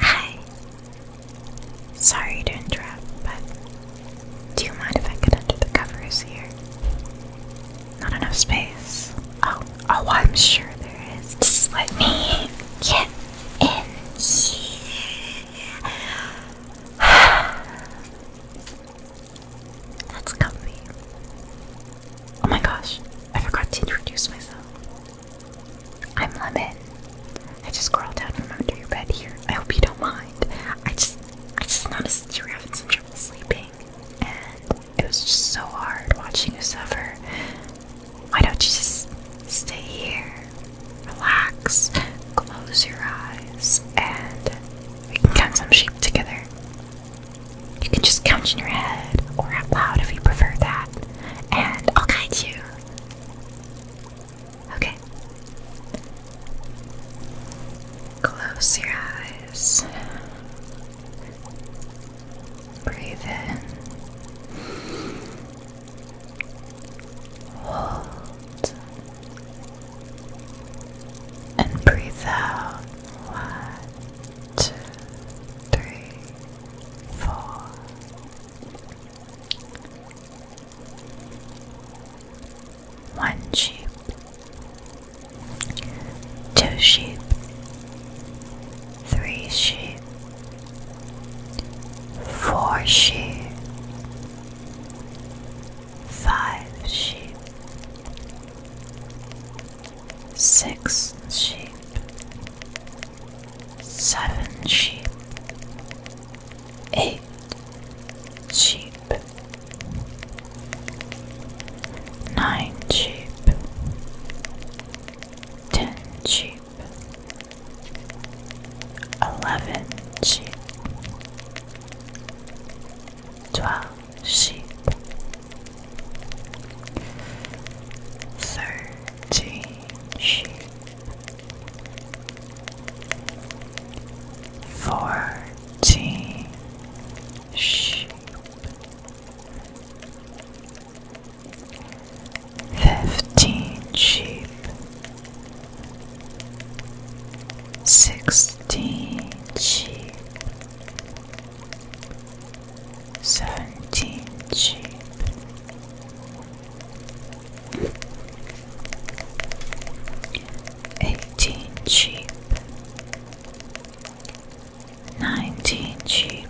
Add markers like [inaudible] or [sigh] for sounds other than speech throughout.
Hi. Sorry to interrupt, but do you mind if I get under the covers here? Not enough space. Oh, oh, I'm sure there is. Just let me get in here. [sighs] That's comfy. Oh my gosh, I forgot to introduce myself. I'm Lemon. I just crawled down from under your bed here. I hope you don't mind. I just I just noticed you were having some trouble sleeping. And it was just so hard watching you suffer. Why don't you just stay here? Relax. Close your eyes and we can count some sheep together. You can just count in your head or out loud if you prefer that. And I'll guide you. Okay. Close your eyes. Breathe in. Hold. And breathe out. One, two, three, four. One sheep, two sheep, three sheep, four sheep, five sheep, six sheep seven sheep, eight sheep, nine sheep, ten sheep, eleven sheep, twelve sheep, thirteen change fourteen sheep fifteen sheep sixteen sheep seventeen sheep. Eighteen sheep, nineteen sheep,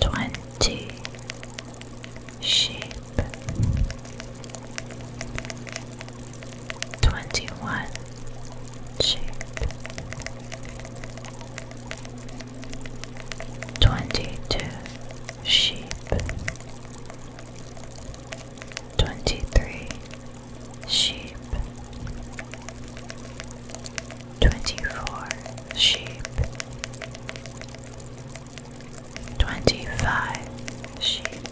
twenty sheep, twenty one shape. Twenty two sheep, twenty three sheep, twenty four sheep, twenty five sheep,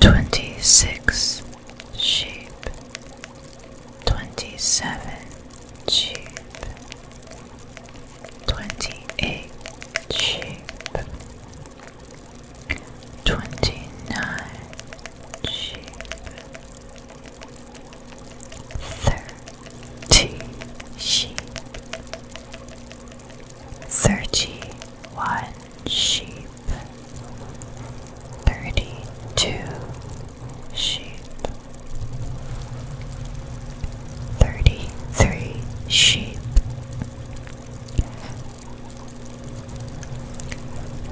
twenty six sheep, twenty seven sheep, twenty eight sheep, twenty nine sheep, thirty sheep, thirty one sheep, thirty two sheep, thirty three sheep,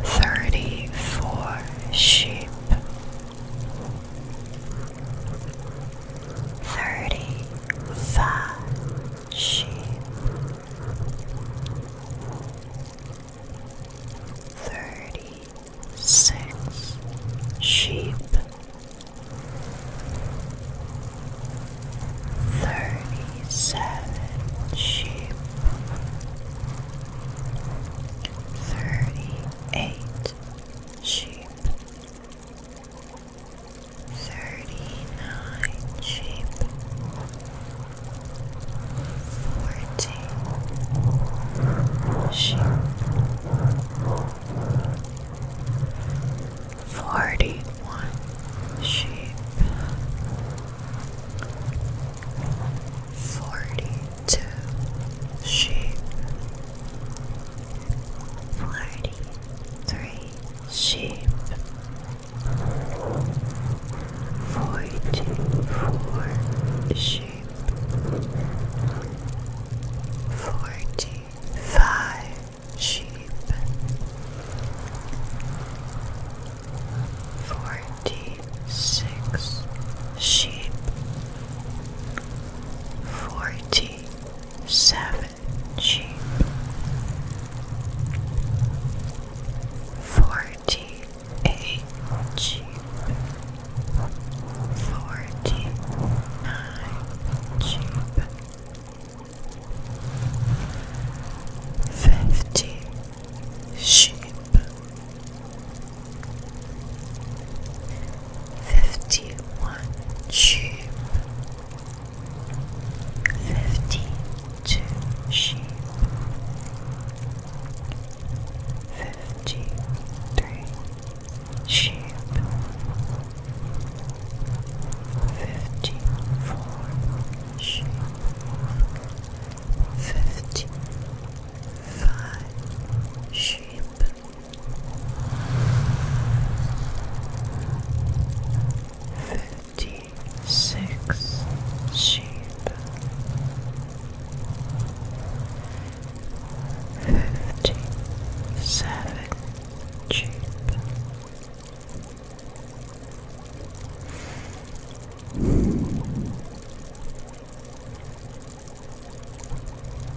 thirty four sheep. Thirty five sheep, thirty six sheep, thirty seven sheep, thirty eight sheep. 39 thirty-nine sheep, forty sheep, forty-one sheep, forty-two sheep, forty-three sheep forty four sheep, forty five sheep, forty six sheep, forty seven sheep forty eight Jeep, forty nine Jeep, fifty sheep, fifty one sheep. 51 sheep 49 fifty-two sheep, fifty-three sheep, fifty-four sheep, fifty-five sheep. Fifty 56 sheep, fifty-seven sheep,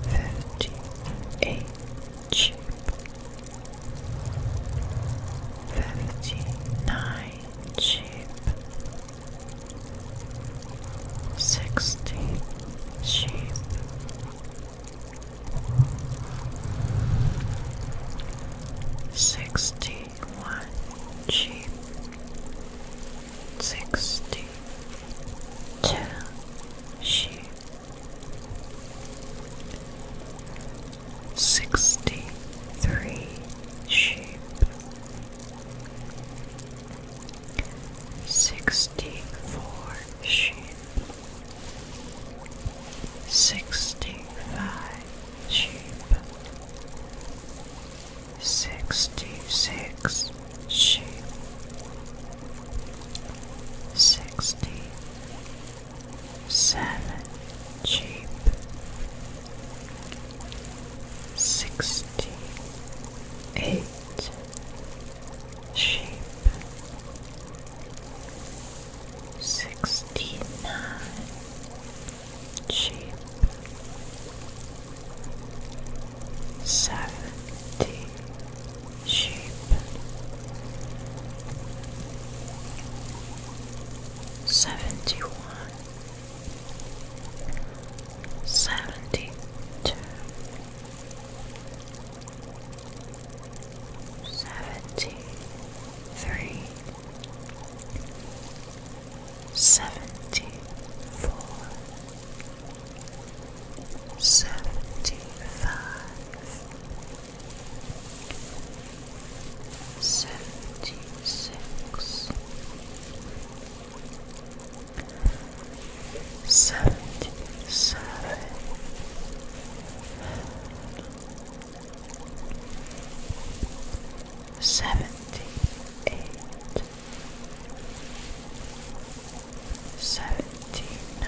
fifty-eight sheep fifty-nine sheep, sixty sheep, sixty-one sheep, sixty-two sheep sixty three sheep, sixty four sheep, sixty five sheep, sixty six sheep. Sixty seven sheep, sixty eight sheep, sixty nine sheep, seventy sheep seventy one, seventy two, seventy three, seventy four, seventy five. Seventy-six, seventy-seven, seventy-eight, seventy-nine. 79 80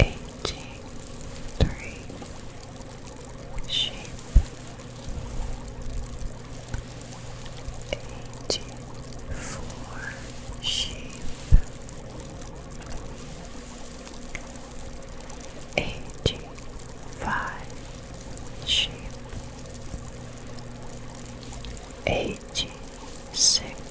Aging tree shape sheep aging sheep aging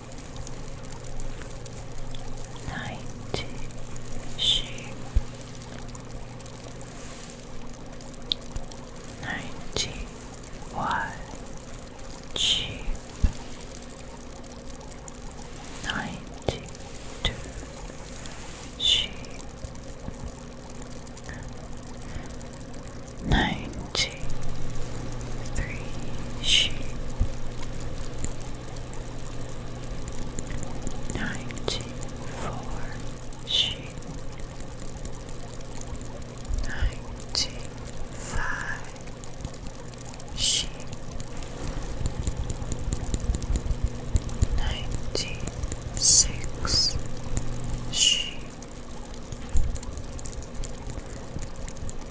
ninety sheep, ninety one sheep, ninety two sheep. Ninety three sheep, ninety four sheep, ninety five sheep, ninety six sheep.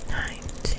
Ninety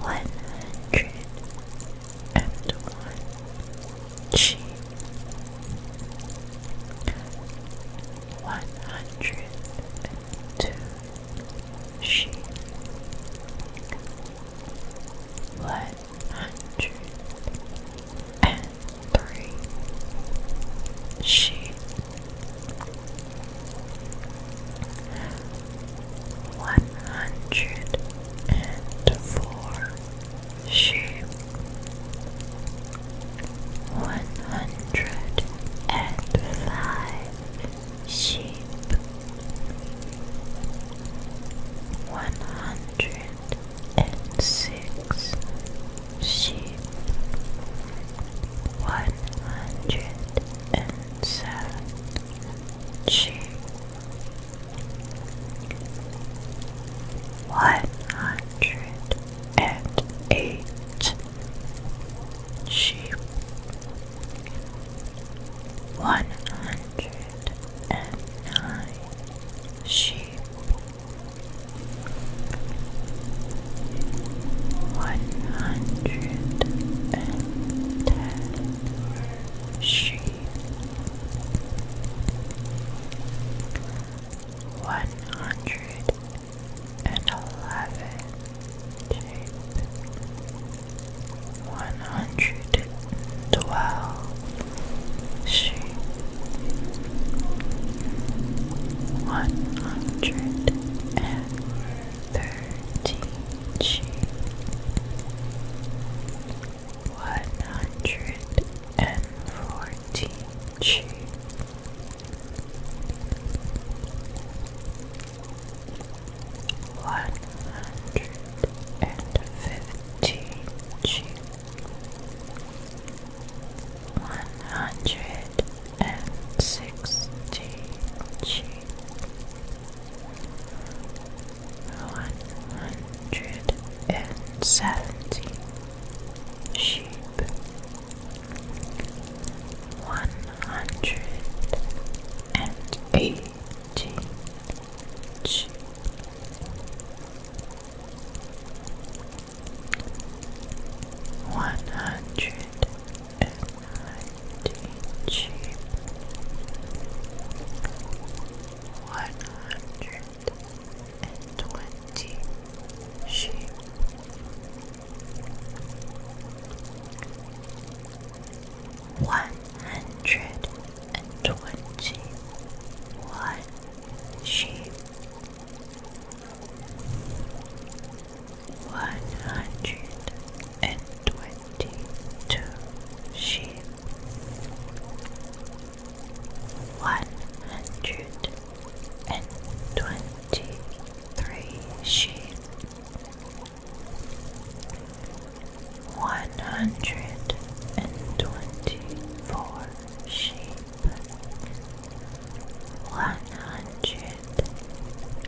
one hundred and one one hundred and two one hundred three. She one hundred and four. She one hundred and five. Sheep one hundred and six sheep, one hundred and seven sheep, one hundred and eight sheep, one hundred and nine sheep one hundred and ten sheep, one hundred and eleven sheep, one hundred and twelve sheep one hundred and thirty sheep, one hundred and forty sheep. One hundred and fifteen sheep, one hundred and sixty G one hundred and seventy sheep one hundred and eighty sheep one hundred and ninety sheep, one hundred and twenty sheep. One hundred and twenty one sheep, one hundred and twenty two sheep, one hundred and twenty three sheep, one hundred and twenty four sheep, one hundred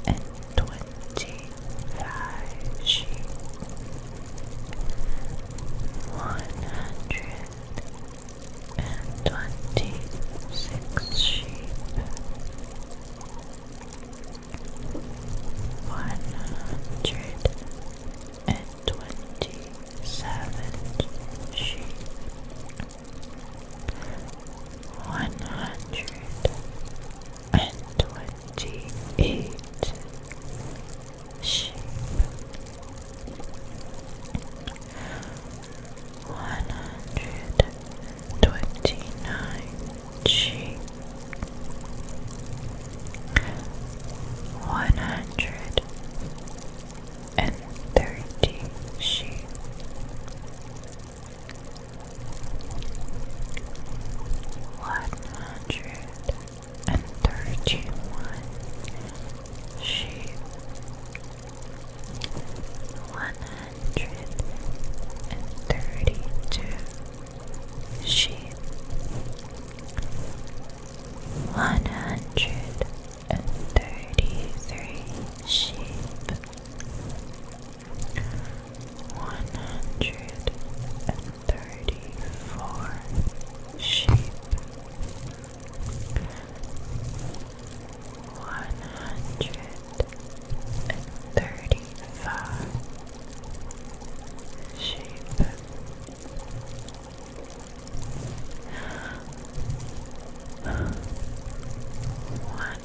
and twenty five sheep, one hundred and twenty six sheep. One hundred and twenty seven sheep, one hundred and twenty eight sheep, one hundred twenty nine sheep. One hundred and thirty sheep. One hundred and thirty one sheep. One hundred and thirty two sheep. One hundred thirty-three sheep, one hundred and thirty-four sheep, one hundred and thirty-five sheep one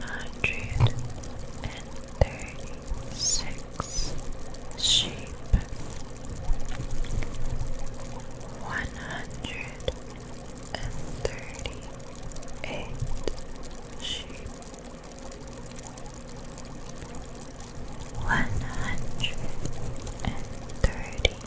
hundred and thirty-six sheep, one hundred and thirty-eight sheep, one hundred and thirty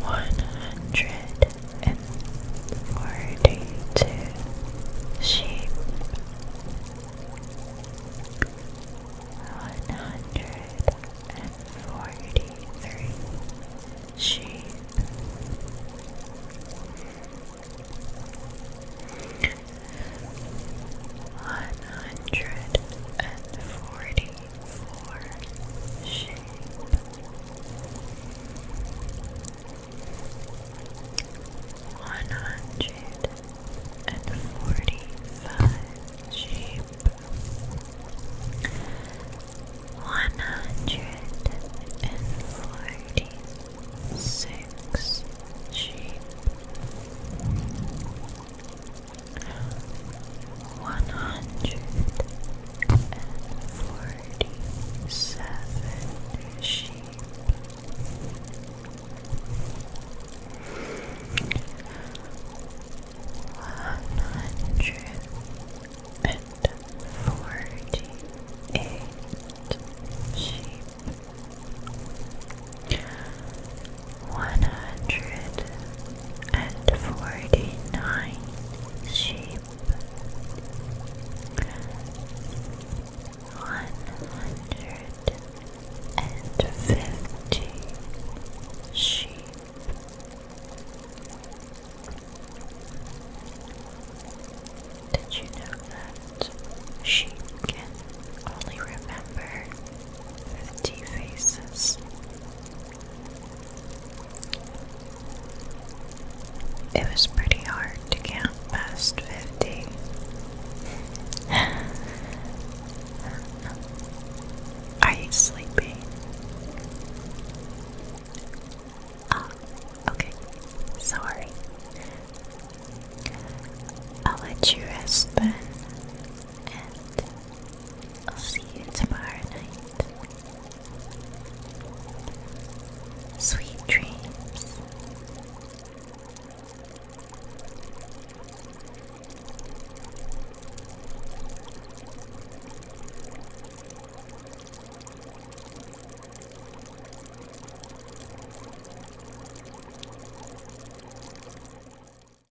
one hundred and forty-two sheep, one hundred and forty-three sheep. One hundred and forty for shape. One hundred and forty-five sheep. One hundred and forty-six sheep one hundred and forty seven sheep. One hundred and forty eight sheep one hundred and forty nine sheep, one hundred and fifty sheep. Did you know that sheep can only remember fifty faces? It was pretty hard to count past 50. [laughs] Are you sleepy? Ah, oh, okay. Sorry. I'll let you rest I'll see you tomorrow night. Sweet dreams.